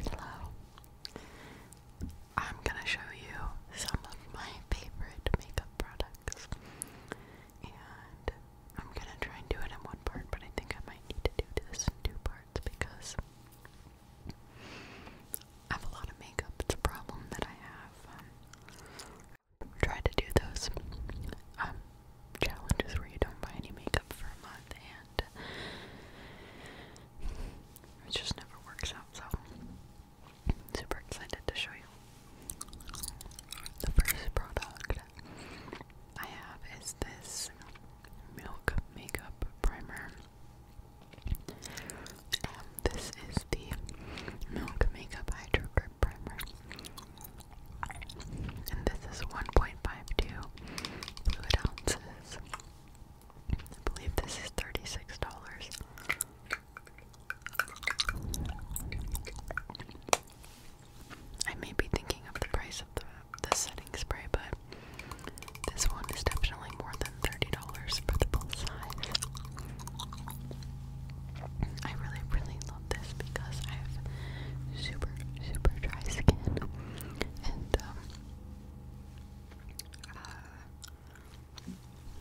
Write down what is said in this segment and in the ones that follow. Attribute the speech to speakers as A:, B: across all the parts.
A: Hello. I'm gonna show you some of my favorite makeup products. And I'm gonna try and do it in one part, but I think I might need to do this in two parts because I have a lot of makeup. It's a problem that I have. Um, to do those um, challenges where you don't buy any makeup for a month, and it just never works out. So, I'm super excited to show you the first product I have is this milk makeup primer. Um, this is the Milk Makeup Hydro Grip Primer. And this is 1.52 fluid ounces. I believe this is $36. I may be thinking of the price of the, setting spray, but this one is definitely more than $30 for the full size. I really, really this because I have super, super dry skin, and um, uh,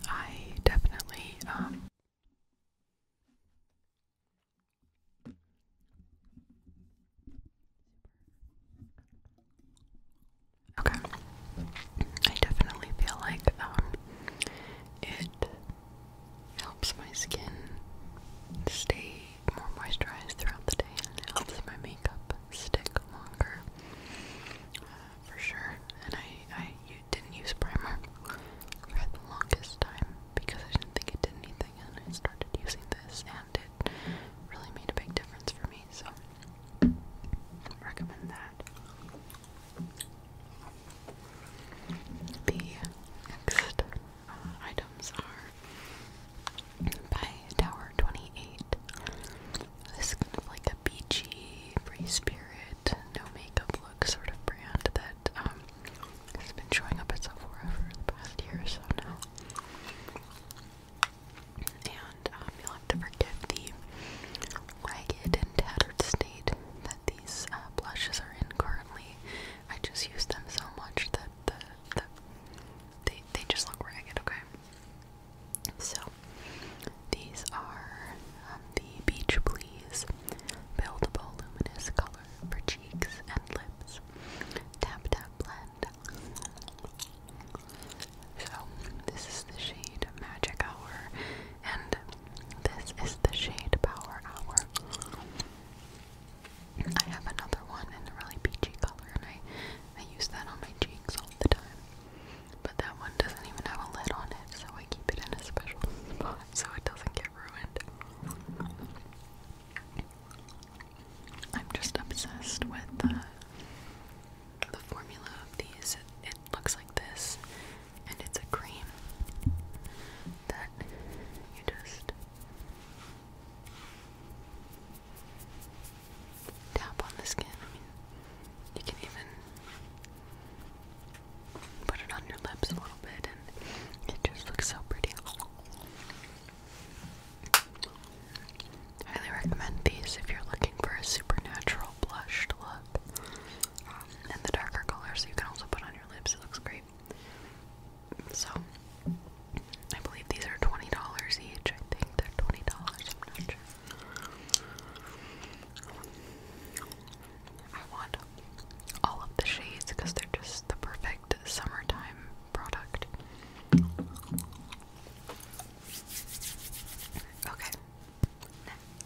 A: I definitely um, Okay. I definitely feel like um it helps my skin stay more moisturized throughout the day and it helps my makeup stick longer uh, for sure. And I, I didn't use primer for the longest time because I didn't think it did anything and I started using this and it really made a big difference for me. So recommend that. The next items are by Tower 28. This is kind of like a beachy, free spirit, no makeup look sort of brand that um, has been showing up itself Sephora for the past year or so now. And um, you'll have to forgive the ragged and tattered state that these uh, blushes are in currently. I just use them so much that the, they they just look ragged. Okay. So these are um, the Beach Please buildable luminous color for cheeks and lips. Tap tap blend. So this is the shade Magic Hour and this is the Shade Power Hour. I have another one in a really peachy color, and I, I use that on my cheeks all the time. But that one doesn't even have a lid on it, so I keep it in a special spot so it doesn't get ruined. I'm just obsessed with the, uh, the formula of these. it looks like this, and it's a cream that you just tap on the skin. you can even put it on your lips a little bit, and it just looks so pretty. highly recommend these if you're looking for a supernatural blush to look look. Um, the darker colors you can also put on your lips. It looks great. So, I believe these are $20 each. I think they're $20. I'm not sure. I want all of the shades because they're just the perfect summertime product. Okay,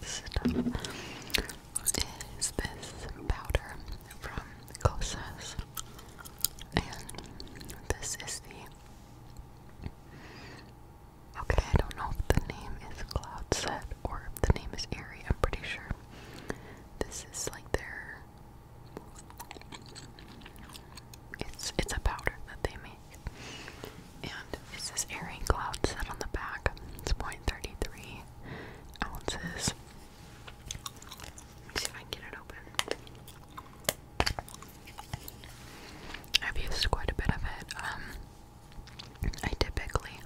A: Next is this powder from Kosas, and this is the. Okay, I don't know if the name is Cloud Set or if the name is Airy. I'm pretty sure this is like their. It's it's a powder that they made. And it says airing cloud set on the back. It's 0.33 ounces. see if I can get it open. I've used quite a bit of it. Um, I typically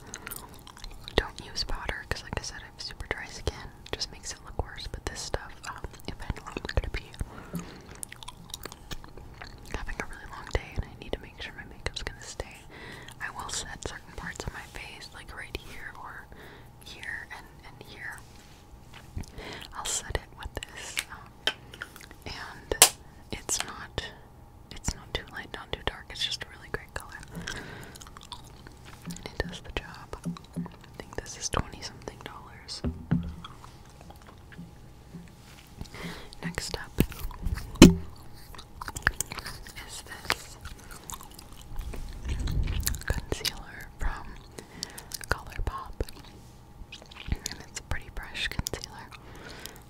A: don't use powder because, like I said, I have super dry skin. just makes it look worse. But this stuff, um, if I am going having a really long day and I need to make sure my makeup's gonna stay. I will set certain parts of my face, like right here or here and, and here. I'll set it with this. Um, and it's not it's not too light, not too dark, it's just a really great color. And it does the job. I think this is twenty something dollars. Next up is this concealer from Color And it's a pretty brush concealer.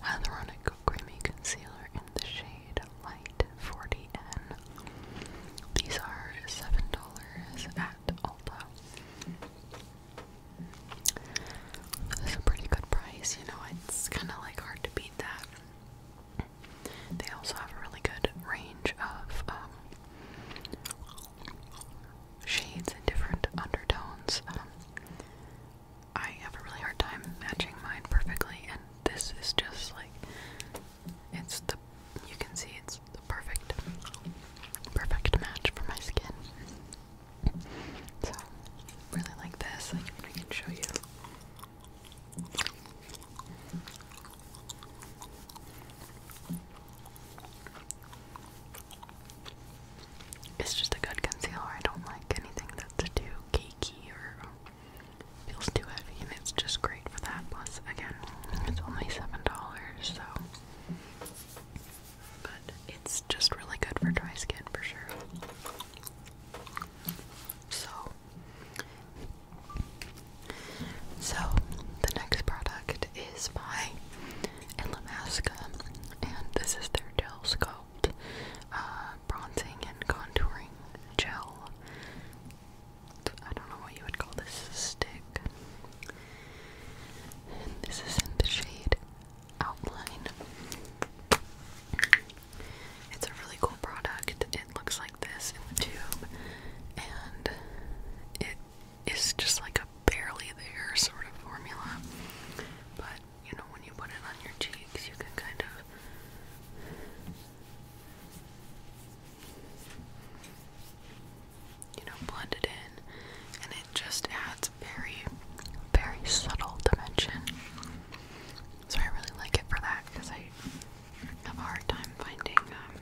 A: Hyaluronic Creamy Concealer in the shade Light 40N. These are $7 at Ulta. It's a pretty good price, you know, it's kind of like hard to beat that. They also have a really good range of um, shades and different undertones. Um, I have a really hard time matching mine perfectly, and this is just like it's the you can see it's the perfect perfect match for my skin. So, really like this. I I can show you. It's just a good concealer. I don't like anything that's too cakey or feels too heavy, and it's just great for that. Plus, again, it's only $7, so but it's just really good for dry skin for sure. So, so the next product is by Illamasqua, and this is their gel sculpt uh, bronzing and contouring gel. I don't know what you would call this stick this is in the shade Outline. It's a really cool product. It looks like this in the tube, and it is just like a barely there sort of formula. But you know, when you put it on your cheeks, you can kind of you know, blend in, and it just adds very, very subtle dimension. So I really like it for that because I have a hard time finding um,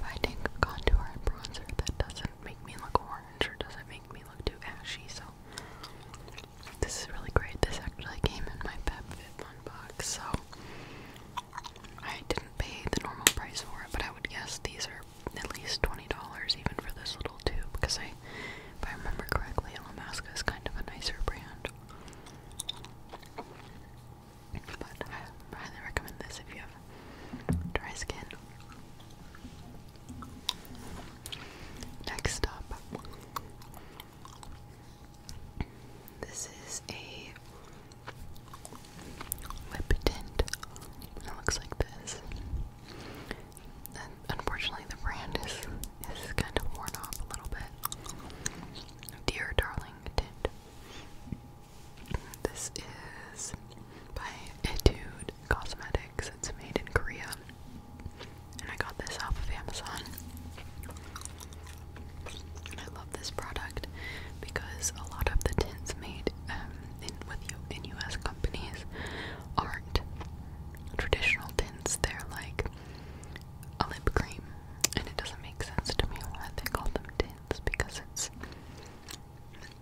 A: finding contour and bronzer that doesn't make me look orange or doesn't make me look too ashy. So this is really great. This actually came in my PepFitFun box, so I didn't pay the normal price for it, but I would guess these are at least $20 even for this little tube because I, if I remember correctly, Elamaska is kind of a nicer brand. But I highly recommend this if you have dry skin. Next up, this is a lip tint. It looks like this. unfortunately, the brand is is kind of worn off a little bit. Dear darling tint. This is by Etude Cosmetics. It's made in Korea. And I got this off of Amazon. And I love this product because a lot of the tints made um, in with you in U.S. companies aren't traditional tints. They're like a lip cream, and it doesn't make sense to me why they call them tints because it's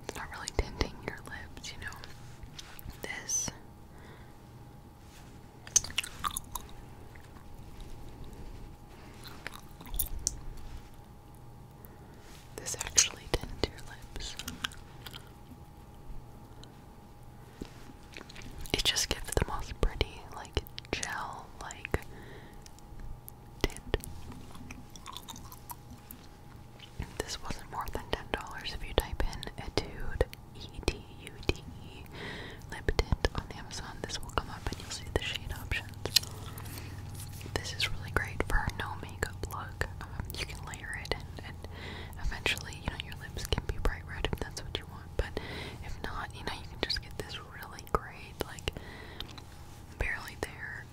A: it's not really tinting your lips, you know. This this actually tints your lips. It just gives the most pretty, like, gel like tint. This wasn't more than $10 if you type in Etude E-T-U-D-E lip tint on Amazon. This will come up and you'll see the shade options. This is really great for a no makeup look. Um, you can layer it and, eventually, you know, your lips can be bright red that's what you want. But if not, you know, you can just get this really great, like, barely there,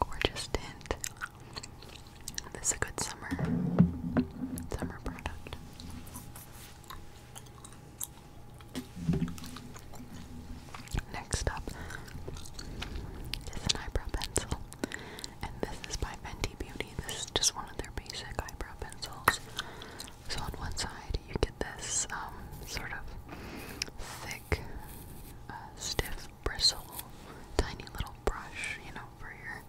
A: gorgeous tint. This is a good summer, summer product. Next up is an eyebrow pencil. And this is by Fenty Beauty. This is just one of their basic eyebrow pencils. So on one side you get this um, sort of thick, uh, stiff bristle, tiny little brush, you know, for your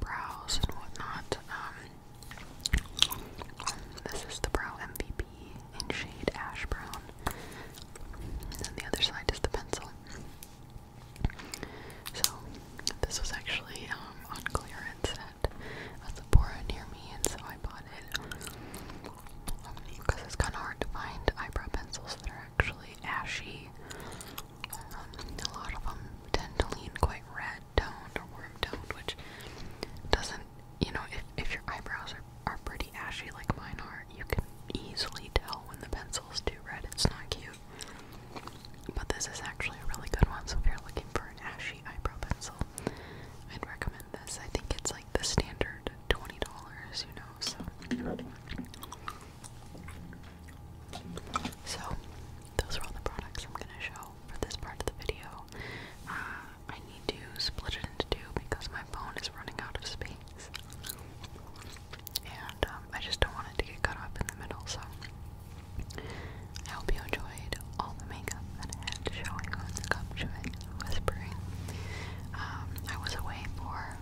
A: brows and whatnot. Um, this is the Brow MVP in shade Ash Brown. And then the other side is the pencil. So, this was actually um, on clearance at a Sephora near me, and so I bought it. Because um, it's kind of hard to find eyebrow pencils that are actually ashy a lot of them tend to lean quite red toned or warm toned, which doesn't, you know, if, if your eyebrows are, are pretty ashy like mine are, you can easily tell when the pencil's too red. It's not cute. But this is actually a really good one, so if you're looking for an ashy eyebrow pencil, I'd recommend this. I think it's like the standard $20, you know, so. So, those are all the products I'm gonna show for this part of the video. Uh, I need to split it into two because my phone is running out of space. And um, I just don't want it to get cut off in the middle, so I hope you enjoyed all the makeup that I had to show you um, I was away for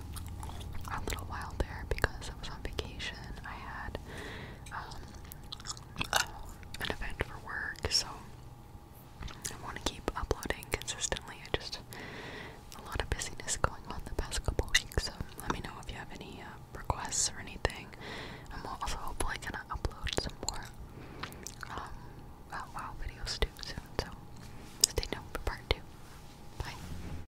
A: a little while there because I was on vacation. I had um, an event for work, so I want to keep uploading consistently. I just a lot of busyness going on the past couple weeks, let me know if you have any uh, requests or anything. I'm also hopefully gonna upload some more um, videos too soon, so stay tuned for part two. Bye.